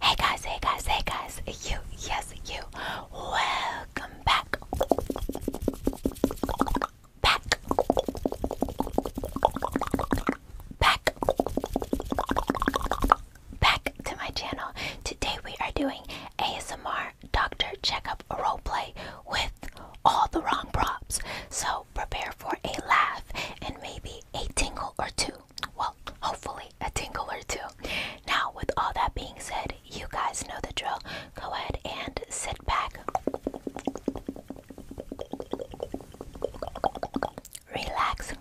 Hey guys, hey guys, hey guys, you, yes, you, welcome back. Back. Back. Back to my channel. Today we are doing ASMR doctor checkup roleplay with all the wrong props. So prepare for a laugh and maybe a tingle or two. Well, hopefully, a tingle or two. Now, with all that being said, you guys know the drill. Go ahead and sit back, relax,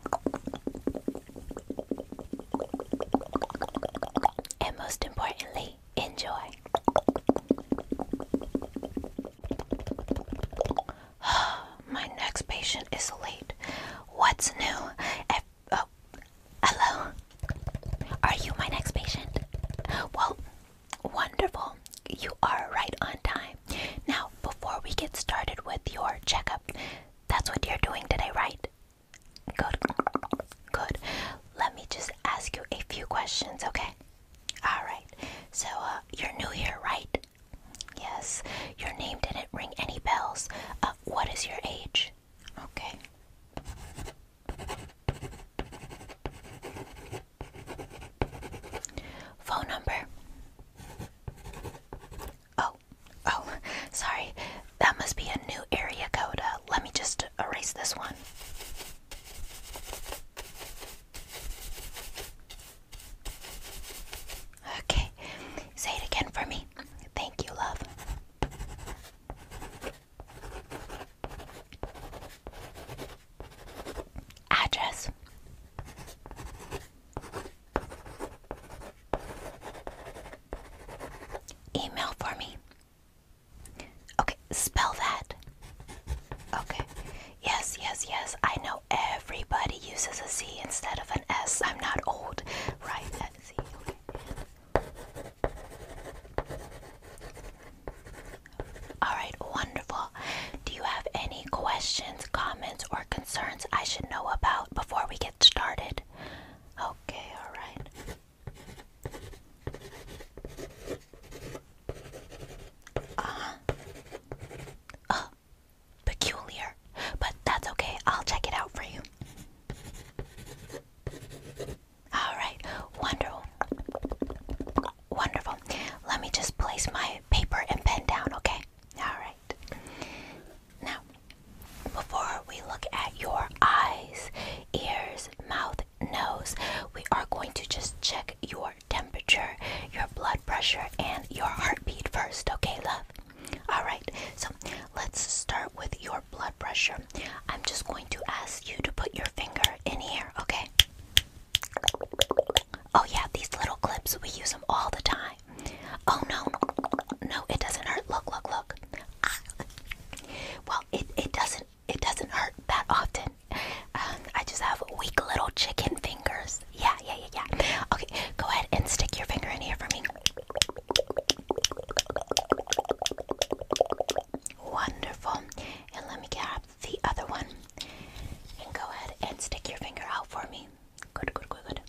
and most importantly, enjoy. My next patient is late. What's new? oh, hello. Are you my next patient? Well, wonderful. You are right on time. Now, before we get started with your checkup, that's what you're doing today, right? Good. Good. Let me just ask you a few questions, okay? All right. So, uh, you're new here, right? Yes. Your name didn't ring any bells. Uh, what is your age? Okay. Phone number. Oh, oh, sorry. That must be a new area code. Uh, let me just erase this one. Okay, say it again for me. Thank you, love. Address. Email for me. Okay, spell that. Okay. Yes, yes, yes. I know everybody uses a Z instead of an S. I'm not old, right? Alright, wonderful. Do you have any questions, comments, or concerns I should know about before we get started? Okay, alright. Uh uh-huh. Oh, peculiar, but that's okay. I'll check it out for you. All right, wonderful. Wonderful. Let me just place my paper and pen down, okay? All right. Now, before we look at your eyes, ears, mouth, nose, we are going to just check your temperature, your blood pressure, and your heartbeat first, okay, love? Alright, so let's start with your blood pressure. I'm just going to ask you to put your finger in here, okay? Oh, yeah, these little clips, we use them all the time. Oh, no, no, it doesn't hurt. Look, look, look. Ah. Well, it, it doesn't. It doesn't hurt that often. Um, I just have weak little chicken fingers. Yeah, yeah, yeah, yeah. Okay, go ahead and stick your finger in here for me. Wonderful. And let me grab the other one. And go ahead and stick your finger out for me. good, good, good.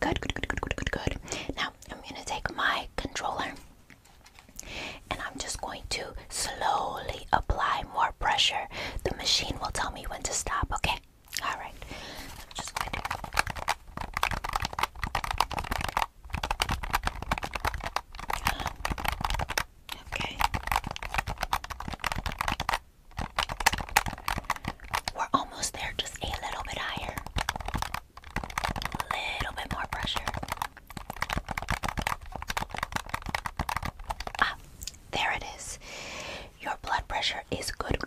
Good, good, good, good, good, good, good. Now I'm gonna take my controller and I'm just going to slowly apply more pressure. The machine will tell me when to stop, okay? Alright. I'm just going Okay. We're almost there, just a little bit higher. A little bit more pressure. Ah, there it is. Your blood pressure is good.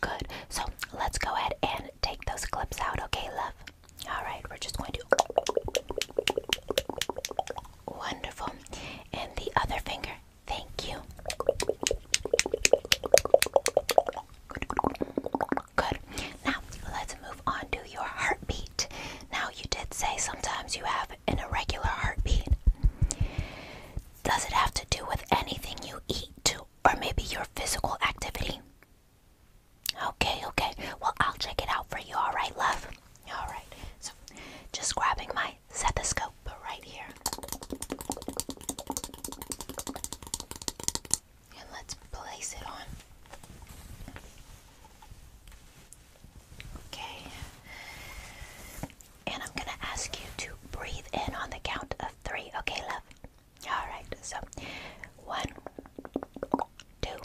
Good. So let's go ahead and take those clips out, okay, love? Alright, we're just going to. Wonderful. And the other finger. Thank you. Good. Now, let's move on to your heartbeat. Now, you did say sometimes you have an irregular heartbeat. Does it have to do with anything you eat, or maybe your physical activity? Okay, okay. Well, I'll check it out for you, alright, love? Alright, so just grabbing my stethoscope right here. And let's place it on. Okay. And I'm gonna ask you to breathe in on the count of three. Okay, love? Alright, so one, two,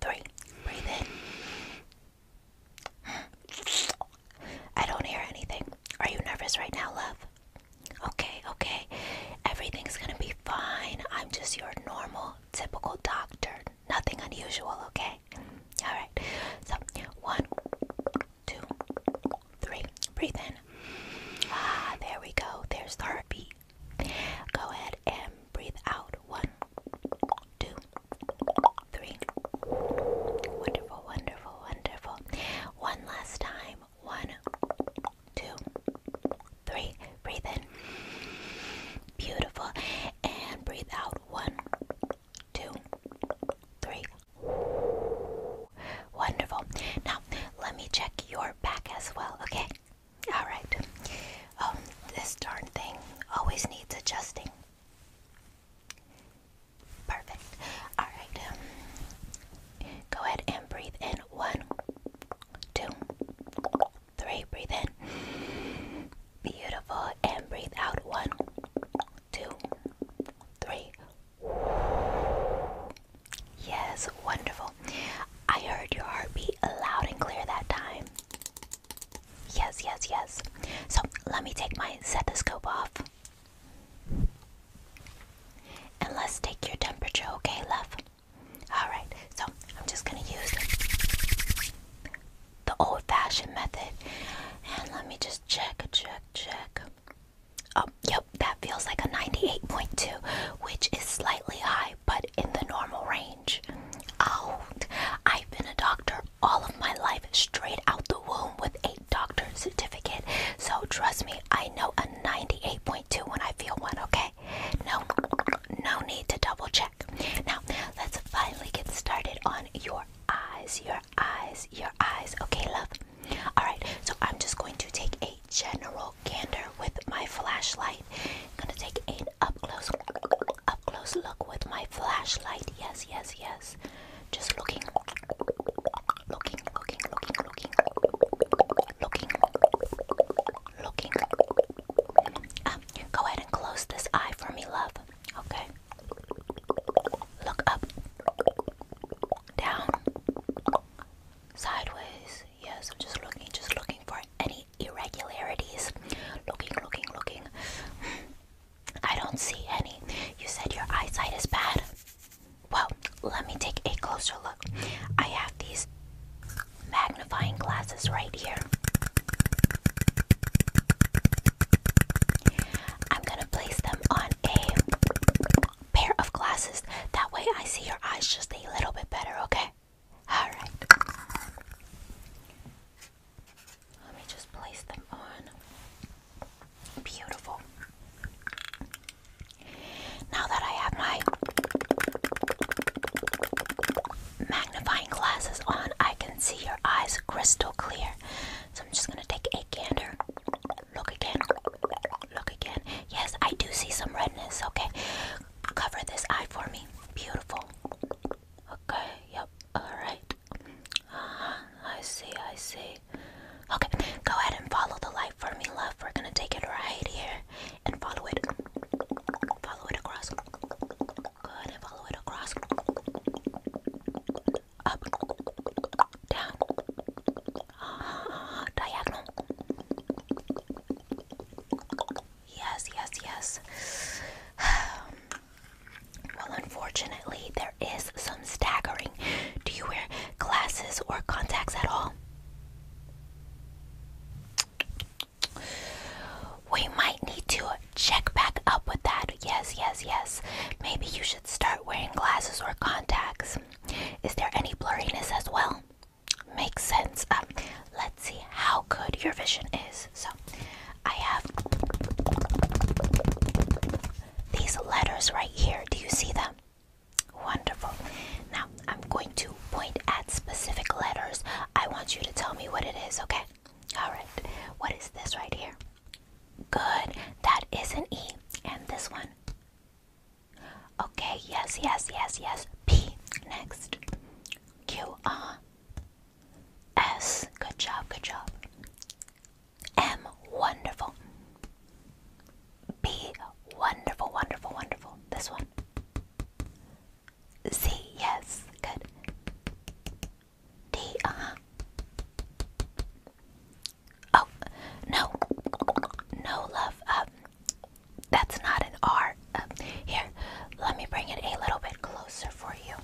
three. Breathe in. I don't hear anything. Are you nervous right now, love? Okay, okay. Everything's gonna be fine. I'm just your normal typical doctor. Nothing unusual, okay? Alright, so one, two, three. Breathe in. Ah, there we go. There's the heartbeat. Go ahead and breathe out. One, two, three. Wonderful, wonderful, wonderful. One last time. One, two, three. Breathe in. Beautiful. And breathe out. One, two, three. Wonderful. Now, let me check your back as well, okay? Alright. Oh, this darn thing always needs adjusting. Perfect. Alright. Um, go ahead and breathe in. One, two, three, breathe in. Beautiful, and breathe out. One, two, three. Yes, wonderful. I heard your heartbeat loud and clear that time. Yes, yes, yes. So let me take my stethoscope off. And let's take your temperature, okay, love? Alright, so I'm just gonna use the old fashioned method. And let me just check, check, check. Oh, yep, that feels like a 98.2, which is slightly high, but in the normal range. Oh, I've been a doctor all of my life, straight out the womb with a doctor certificate. So trust me, I know a 98.2 when I feel one, okay? Okay, no, no need to double check. Now, let's finally get started on your eyes, your eyes, your eyes. Okay, love? Alright, so I'm just going to take a general gander with my flashlight. I'm gonna take an up close, up close look with my flashlight. Yes, yes, yes. Just looking, looking, looking, looking, looking, looking, looking. Um, go ahead and close this eye for me, love. Okay. Look up, down, sideways. Yes, I'm just looking, just looking for any irregularities. Looking, looking, looking. I don't see any. You said your eyesight is bad. Well, let me take a closer look. I have these magnifying glasses right here. I'm going to place them on a pair of glasses. That way I see your eyes just a little bit better, okay? Alright. Let me just place them on. Beautiful. Now that I have my magnifying glasses on, I can see your eyes crystal clear. So I'm just gonna take a gander. Look again. Look again. Yes, I do see some redness. Okay. Cover this eye for me. Beautiful. Okay, yep. Alright. uh uh-huh, I see, I see. Okay, go ahead and follow the light for me, love. We're gonna take it right here and follow it. Follow it across. Good, and follow it across. Up, down, uh, diagonal. Yes, yes, yes. well, unfortunately, there is some staggering. Do you wear glasses or contacts at all? We might need to check back up with that. Yes, yes, yes. Maybe you should start wearing glasses or contacts. Is there any blurriness as well? Makes sense. Um, let's see how good your vision is. So, I have these letters right here. Do you see them? Wonderful. I'm going to point at specific letters. I want you to tell me what it is, okay? All right. What is this right here? Good. That is an E. And this one? Okay, yes, yes, yes, yes. P. Next. Q. R. S. Good job, good job. M. Wonderful. B. Wonderful, wonderful, wonderful. This one. Z, yes, good. D, uh huh. Oh, no, no, love. up. Um, that's not an R. Um, here, let me bring it a little bit closer for you.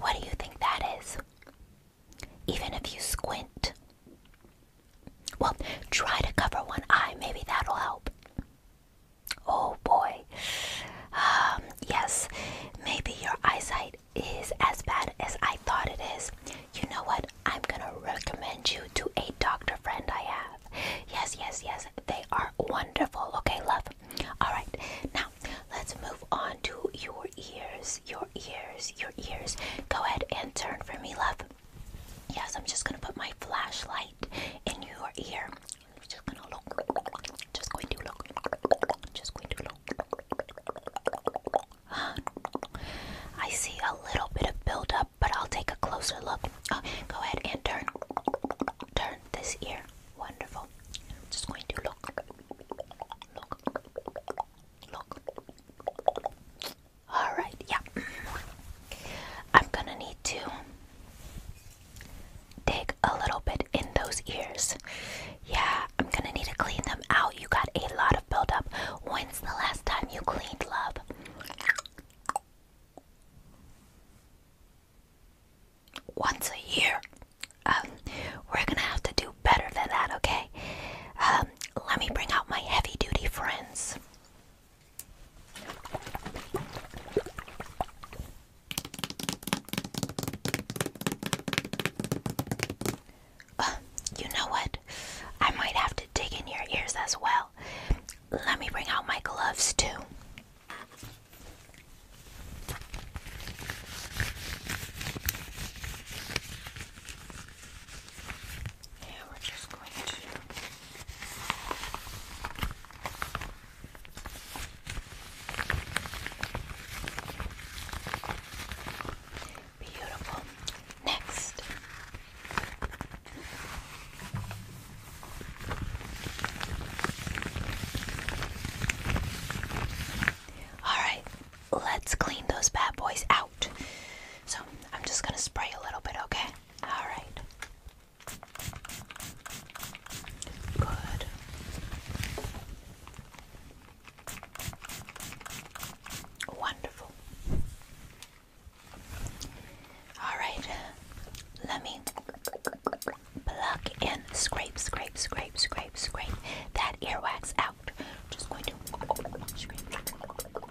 What do you think that is? Even if you squint, well, try to cover one eye. Maybe that'll help. Oh boy. Um, yes, maybe your eyesight is as bad as I thought it is. You know what? I'm gonna recommend you to a doctor friend I have. Yes, yes, yes. They are wonderful. Okay, love. Alright, now let's move on to your ears. Your ears, your ears. Go ahead and turn for me, love. Yes, I'm just gonna put my flashlight in your ear. i just gonna look. Just going to look. Just going to look. I see a little bit of buildup, but I'll take a closer look. Uh, go ahead and turn. Turn this ear. Wonderful. just going to look. Look. Look. Alright, yeah. I'm gonna need to dig a little bit in those ears. Yeah, I'm gonna need to clean them out. You got a lot of buildup. When's the last time you cleaned, love? Once a year. Um, we're gonna have to do better than that, okay? Um, let me bring out my heavy duty friends. Uh, you know what? I might have to dig in your ears as well. Let me bring out my gloves too. Yeah, we're just going to beautiful. Next. All right, let's clean those bad boys out. So I'm just gonna spray a little bit, okay? All right. Good. Wonderful. All right. Let me pluck in, scrape, scrape, scrape, scrape, scrape that earwax out. Just going to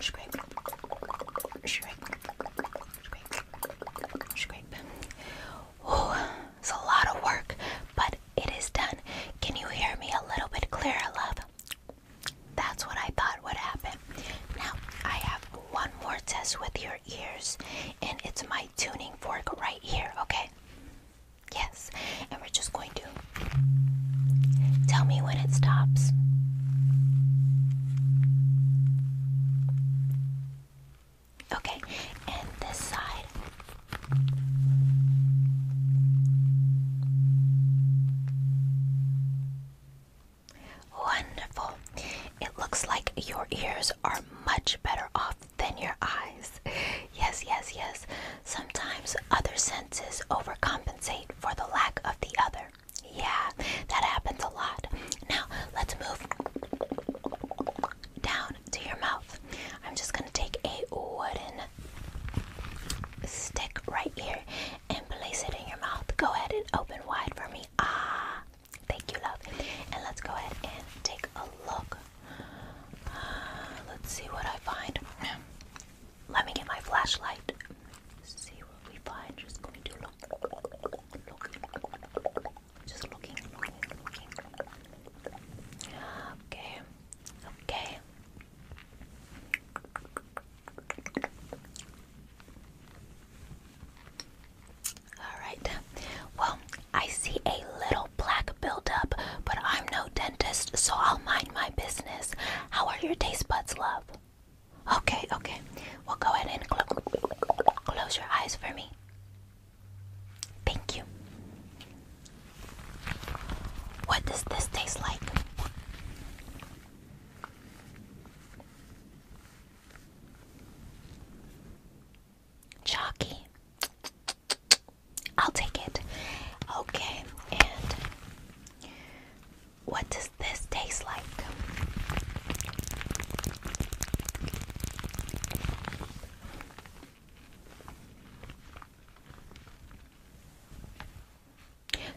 scrape, scrape, scrape. scrape. Oh, it's a lot of work, but it is done. Can you hear me a little bit clearer, love? That's what I thought would happen. Now, I have one more test with your ears, and it's my tuning fork right here, okay? Yes, and we're just going to Tell me when it stops. Okay, and this side. Wonderful. It looks like your ears are much better off than your eyes. Yes, yes, yes. Sometimes other senses overcompensate for the lack of the other. Yeah, that happens a lot. Now, let's move down to your mouth. I'm just going to take a wooden stick right here and place it in your mouth. Go ahead and open wide for me. Ah, thank you, love. And let's go ahead and take a look. Uh, let's see what I find. Let me get my flashlight see what we find. Just going to look, look, just looking, looking, looking. Okay, okay. All right. Well, I see a little black buildup, but I'm no dentist, so I'll mind my business. How are your taste buds, love? Okay, okay. We'll go ahead and close your eyes for me. Thank you. What does this taste like? Chalky. I'll take it. Okay, and what does this taste like?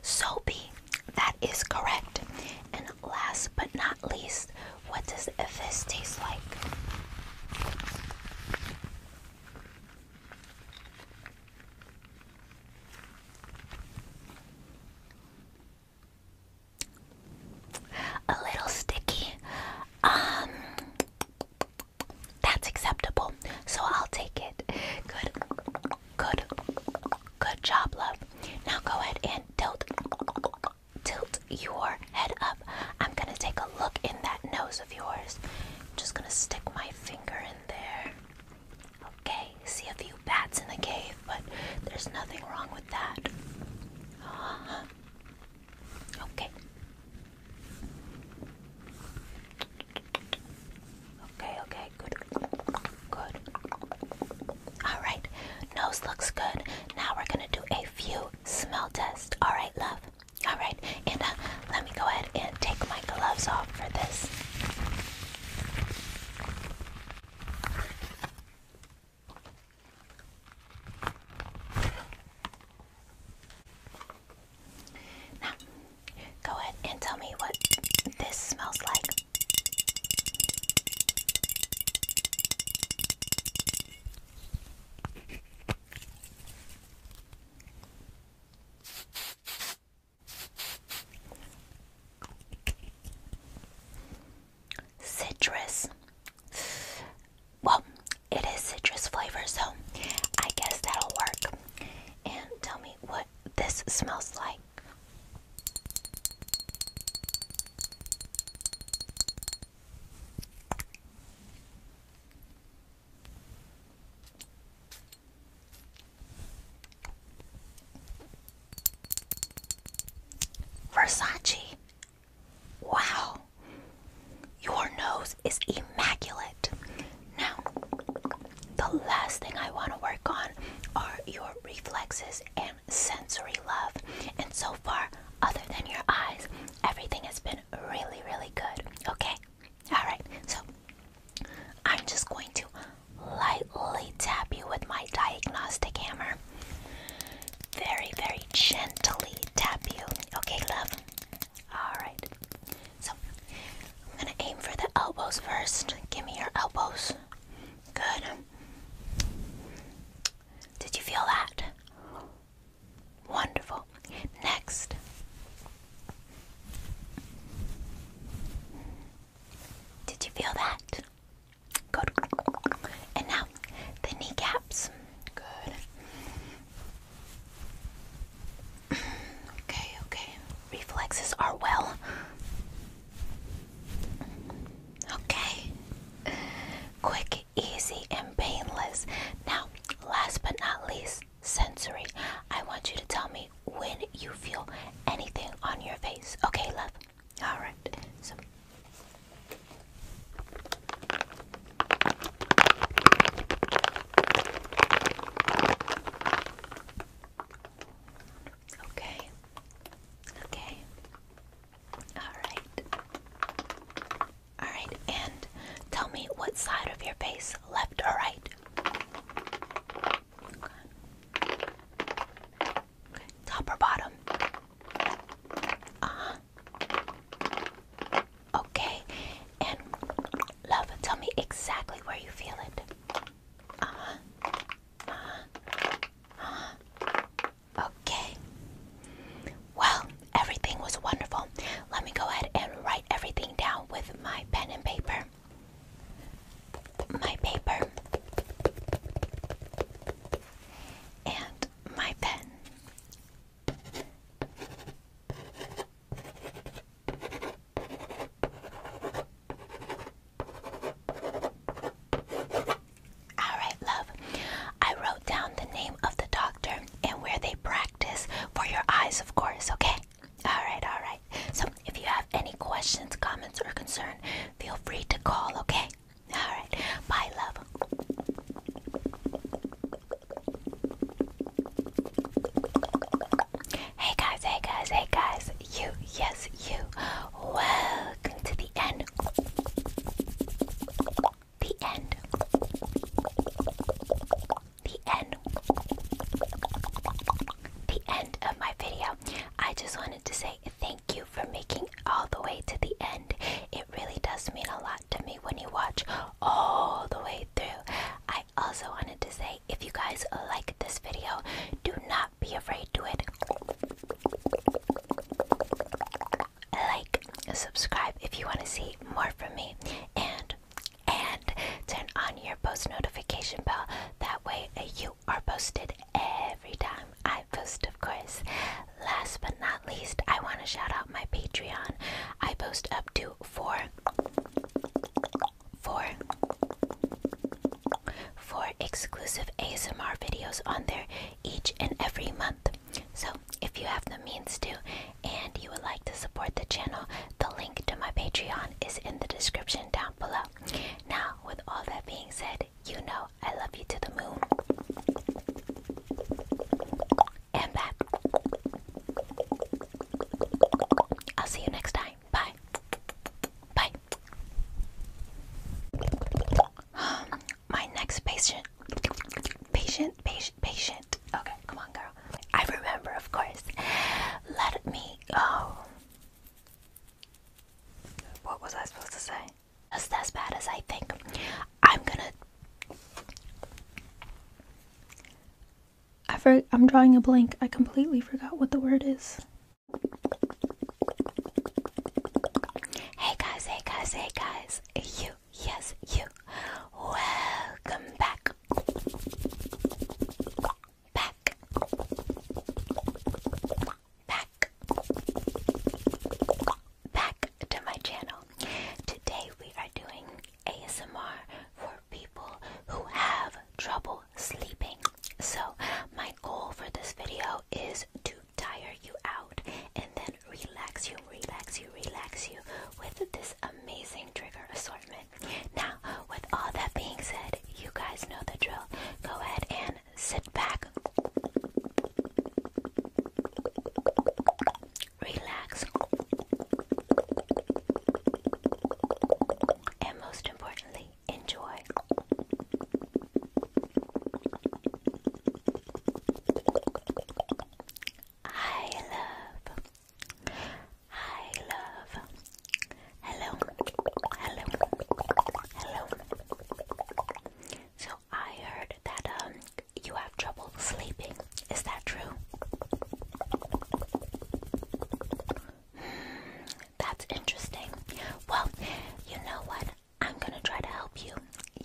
Soapy, that is correct. And last but not least, what does this taste like? A little sticky. Um, that's acceptable. So I'll take it. Good, good, good job, love. Now go ahead and tilt, tilt your head up. I'm gonna take a look in that nose of yours. I'm just gonna stick my finger in there. Okay, see a few bats in the cave, but there's nothing wrong with that. Uh-huh. Okay. Okay, okay, good. Good. Alright, nose looks good. Now we're gonna do a few smell tests. Alright, love. Alright, and uh, let me go ahead and take my gloves off for this. Now, go ahead and tell me what this smells like. Citrus. Well, it is citrus flavor, so I guess that'll work. And tell me what this smells like. Versace. Wow. Your nose is immaculate. Now, the last thing I want to work on are your reflexes and sensory love. And so far, other than your eyes, everything has been really, really good. Okay? Alright, so I'm just going to lightly tap you with my diagnostic hammer. Very, very gently tap you. Okay, love? Alright. So, I'm going to aim for the elbows first. Give me your elbows. Good. Did you feel that? Wonderful. Next, did you feel that? Good. And now the kneecaps. Good. okay, okay. Reflexes are well. Okay. Quick, easy, and painless. Now, last but not least, sensory. I want you to tell me when you feel anything on your face. Okay, love? Alright. Okay. Okay. Alright. Alright, and tell me what side of your face, left or right? Okay. Top or bottom? Uh Okay. And love, tell me exactly where you feel it. Uh huh. Uh uh-huh. Okay. Well, everything was wonderful. Let me go ahead and write everything down with my pen and paper my paper, and my pen. Alright, love. I wrote down the name of the doctor and where they practice for your eyes, of course, okay? Alright, alright. So if you have any questions, comments, or concern, feel free to call, okay? Alright. Bye, love. Hey guys, hey guys, hey guys. You, yes, you. Welcome to the end. The end the end the end of my video i just wanted to say thank you for making all the way to the end it really does mean a lot to me when you watch all the way through i also wanted to say if you guys like this video do not be afraid to it like subscribe if you want to see more from me and and turn on your post notification bell. That way, uh, you are posted every time I post, of course. Last but not least, I want to shout out my Patreon. I post up to four, four, four exclusive ASMR videos on there each and every month. So, if you have the means to and you would like to support the channel, the link to my Patreon is in the description down below. Now, with all that being said, you know I love you to the moon and back. I'll see you next time. Bye. Bye. my next patient. Patient, patient, patient. Okay, come on, girl. I remember, of course. Let me. Oh, what was I supposed to say? Just as bad as I think. I'm gonna. I for, I'm drawing a blank. I completely forgot what the word is. Hey guys, hey guys, hey guys. You, yes, you. Welcome back back, back, back to my channel. Today we are doing ASMR for people who have trouble sleeping. So, my goal for this video is to tire you out and then relax you, relax you, relax you with this amazing trigger assortment. Now, with all that being said, you guys know the drill. Go ahead and sit back, relax, and most importantly, enjoy. I love. Hi, love. Hello. Hello. Hello. So I heard that um you have trouble sleeping. Is that true? Hmm, that's interesting. Well, you know what? I'm gonna try to help you.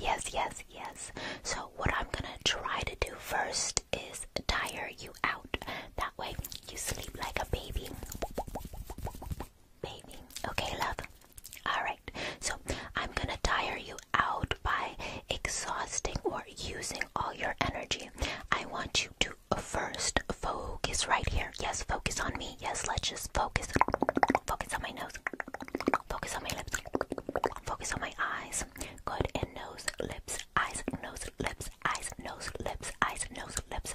Yes, yes, yes. So what I'm gonna try to do first is tire you out. That way you sleep like a baby. Baby. Okay, love. Alright, so I'm gonna tire you out by exhausting or using all your energy. I want you to first focus right here. Yes, focus on me. Yes, let's just focus. Focus on my nose. Focus on my lips. Focus on my eyes. Good. And nose, lips, eyes, nose, lips, eyes, nose, lips, eyes, nose, lips,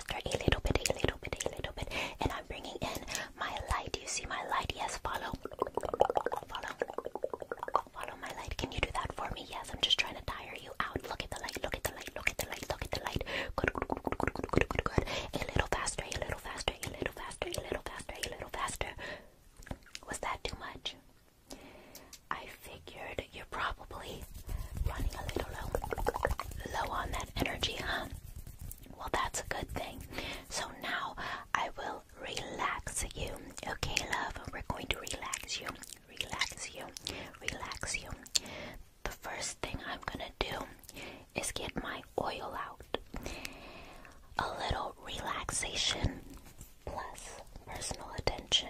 faster, a little bit, a little bit, a little bit. And I'm bringing in my light. You see my light? Yes, follow. Follow. Follow my light. Can you do that for me? Yes, I'm just trying to tire you out. Look at the light, look at the light, look at the light, look at the light. Good, good, good, good, good, good, good, good. A little faster, a little faster, a little faster, a little faster, a little faster. Was that too much? I figured you're probably running a little low, low on that energy, huh? Well, that's a good thing. So now I will relax you. Okay, love, we're going to relax you, relax you, relax you. The first thing I'm gonna do is get my oil out. A little relaxation plus personal attention.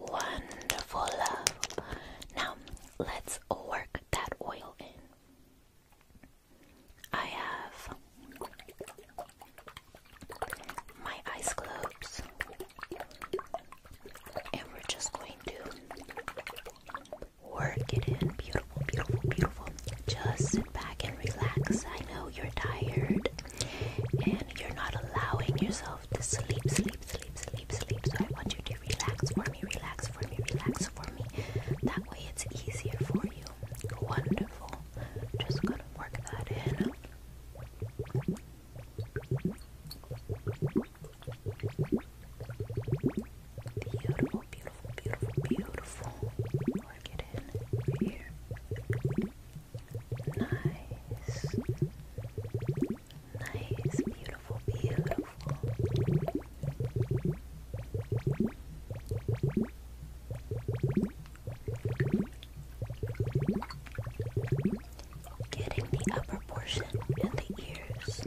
Wonderful Now let's work that oil in. I have my ice globes, and we're just going to work it in. Beautiful, beautiful, beautiful. Just sit back and relax. I know you're tired and you're not allowing yourself to sleep, sleep, sleep, sleep, sleep. So I want you to relax for me, relax for me, relax for me. That way it's easier for you. Wonderful. Just gonna work that in. Beautiful, beautiful, beautiful, beautiful. Work it in here. Nice. Nice. Beautiful, beautiful. Getting the upper portion and the ears.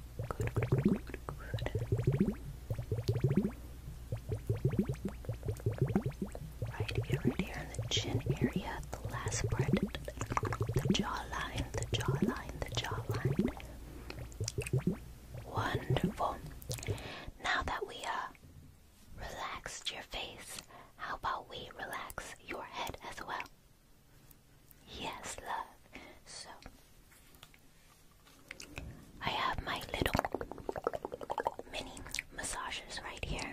Right here, right here the chin area, the last part, the jawline, the jawline, the jawline. Wonderful. Now that we uh relaxed your face, how about we relax your head as well? Yes, love. So I have my little mini massages right here.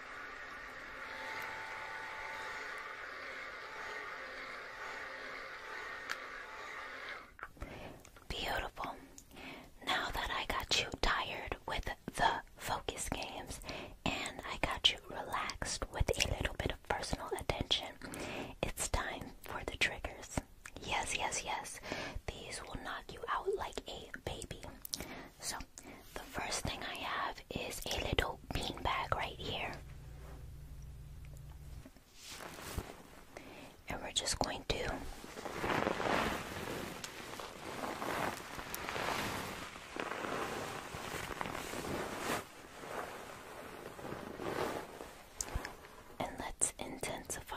Beautiful. Now that I got you tired with the focus games and I got you relaxed with a little bit of personal attention, it's time for the triggers. Yes, yes, yes. These will knock you out like a baby. So, the first thing I have is a little bean bag right here. And we're just going to and let's intensify.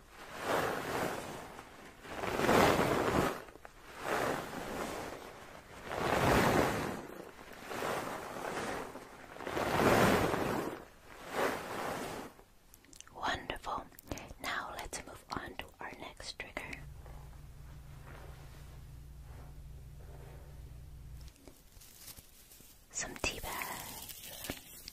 Wonderful. Now let's move on to our next trigger. Some tea bags.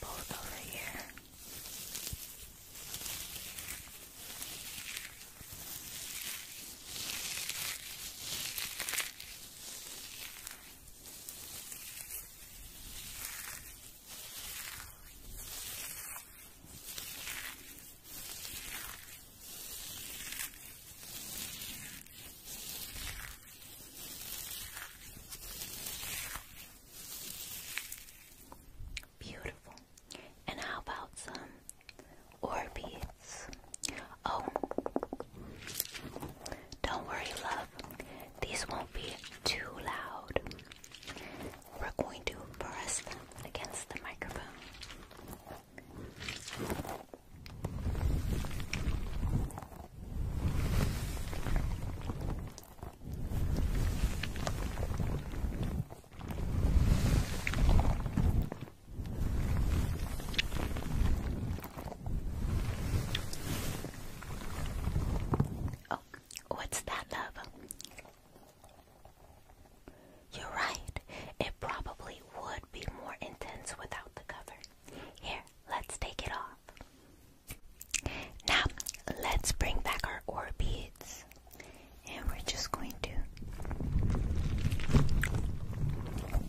Both over here. Beautiful. And how about some Orbeez? Oh, don't worry, love. These won't be too loud. We're going to press them against the microphone. Oh, what's that, love? You're right. It probably would be more intense without the cover. Here, let's take it off. Now, let's bring back our ore beads. And we're just going to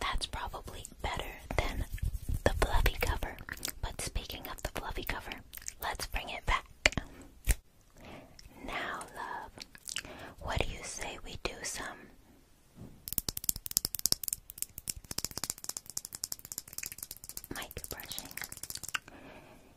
That's probably better than the fluffy cover. But speaking of the fluffy cover, let's bring it back. Now, love, what do you say we do some? Mic brushing.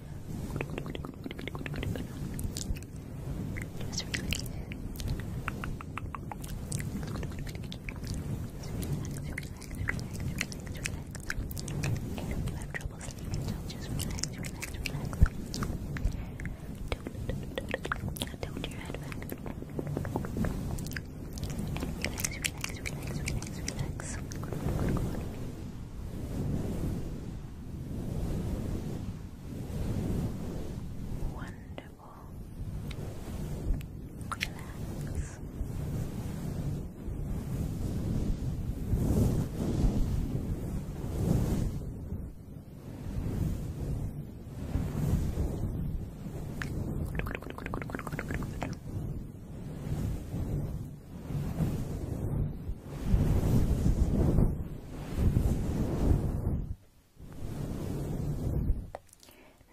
Just relax. Relax, relax, relax, relax. I know you have trouble sleeping, so just relax, relax, relax. Don't, don't, your head back. And relax, relax, relax, relax, relax. Good, good, good, good. Wonderful. Relax.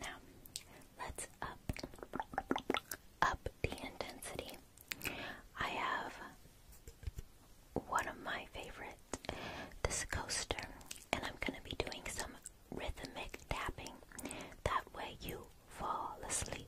Now, let's up up the intensity. I have one of my favorite, this coaster, and I'm going to be doing some rhythmic tapping. That way you fall asleep.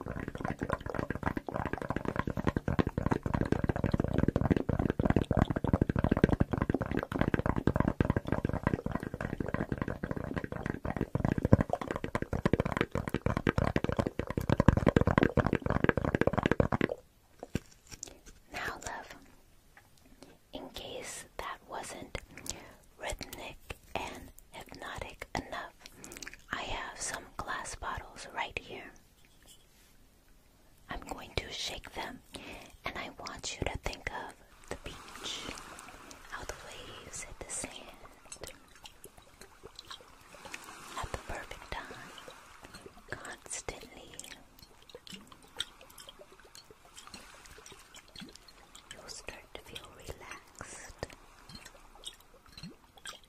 Now, love, in case that wasn't rhythmic and hypnotic enough. I have some glass bottles right here. I'm going to shake them and I want you to think of the beach, how the waves hit the sand at the perfect time, constantly. You'll start to feel relaxed.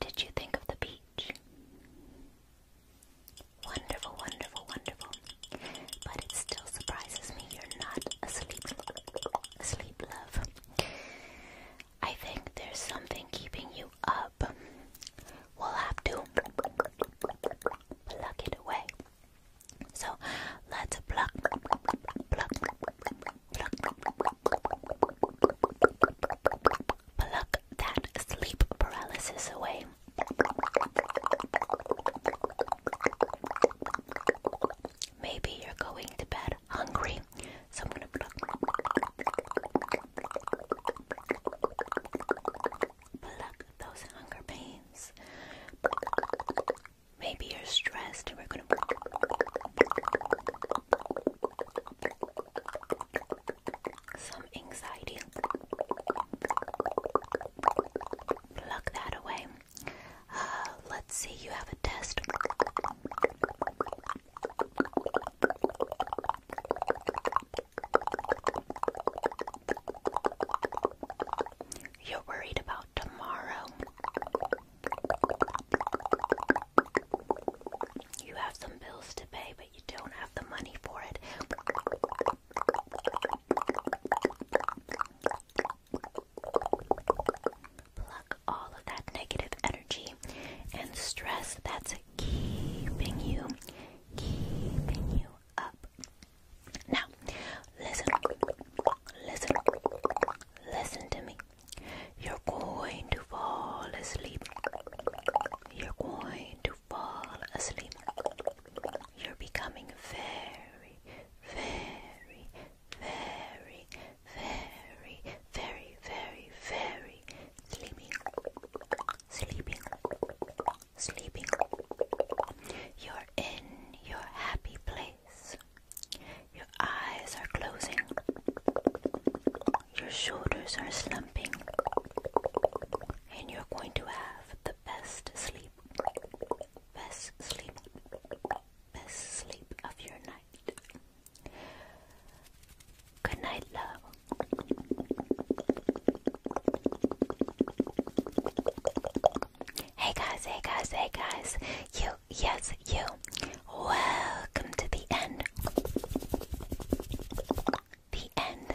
Did you think of the beach? Wonderful, wonderful, wonderful. But it still surprises me you're not asleep sleep, love. I think there's something keeping you up. We'll have to pluck it away. So let's pluck, pluck, pluck, pluck that sleep paralysis away. Maybe you're going to bed hungry, so I'm gonna pluck, those hunger pains. Maybe you're stressed, and we're gonna pluck, some anxiety. Pluck that away. Uh, let's see, you have a test. You're worried about tomorrow. You have some bills to pay, but you don't have the money for it. Pluck all of that negative energy and stress that's keeping you, keeping you up. Now, listen, listen, listen to me. You're going to fall asleep. You're going to fall asleep. You're becoming very, very, very, very, very, very, very sleepy, sleepy, sleepy. You're in your happy place. Your eyes are closing. Your shoulders are slumping. And you're going to have the best sleep. Best sleep best sleep of your night. Good night, love. Hey guys, hey guys, hey guys. You, yes, you. Welcome to the end. The end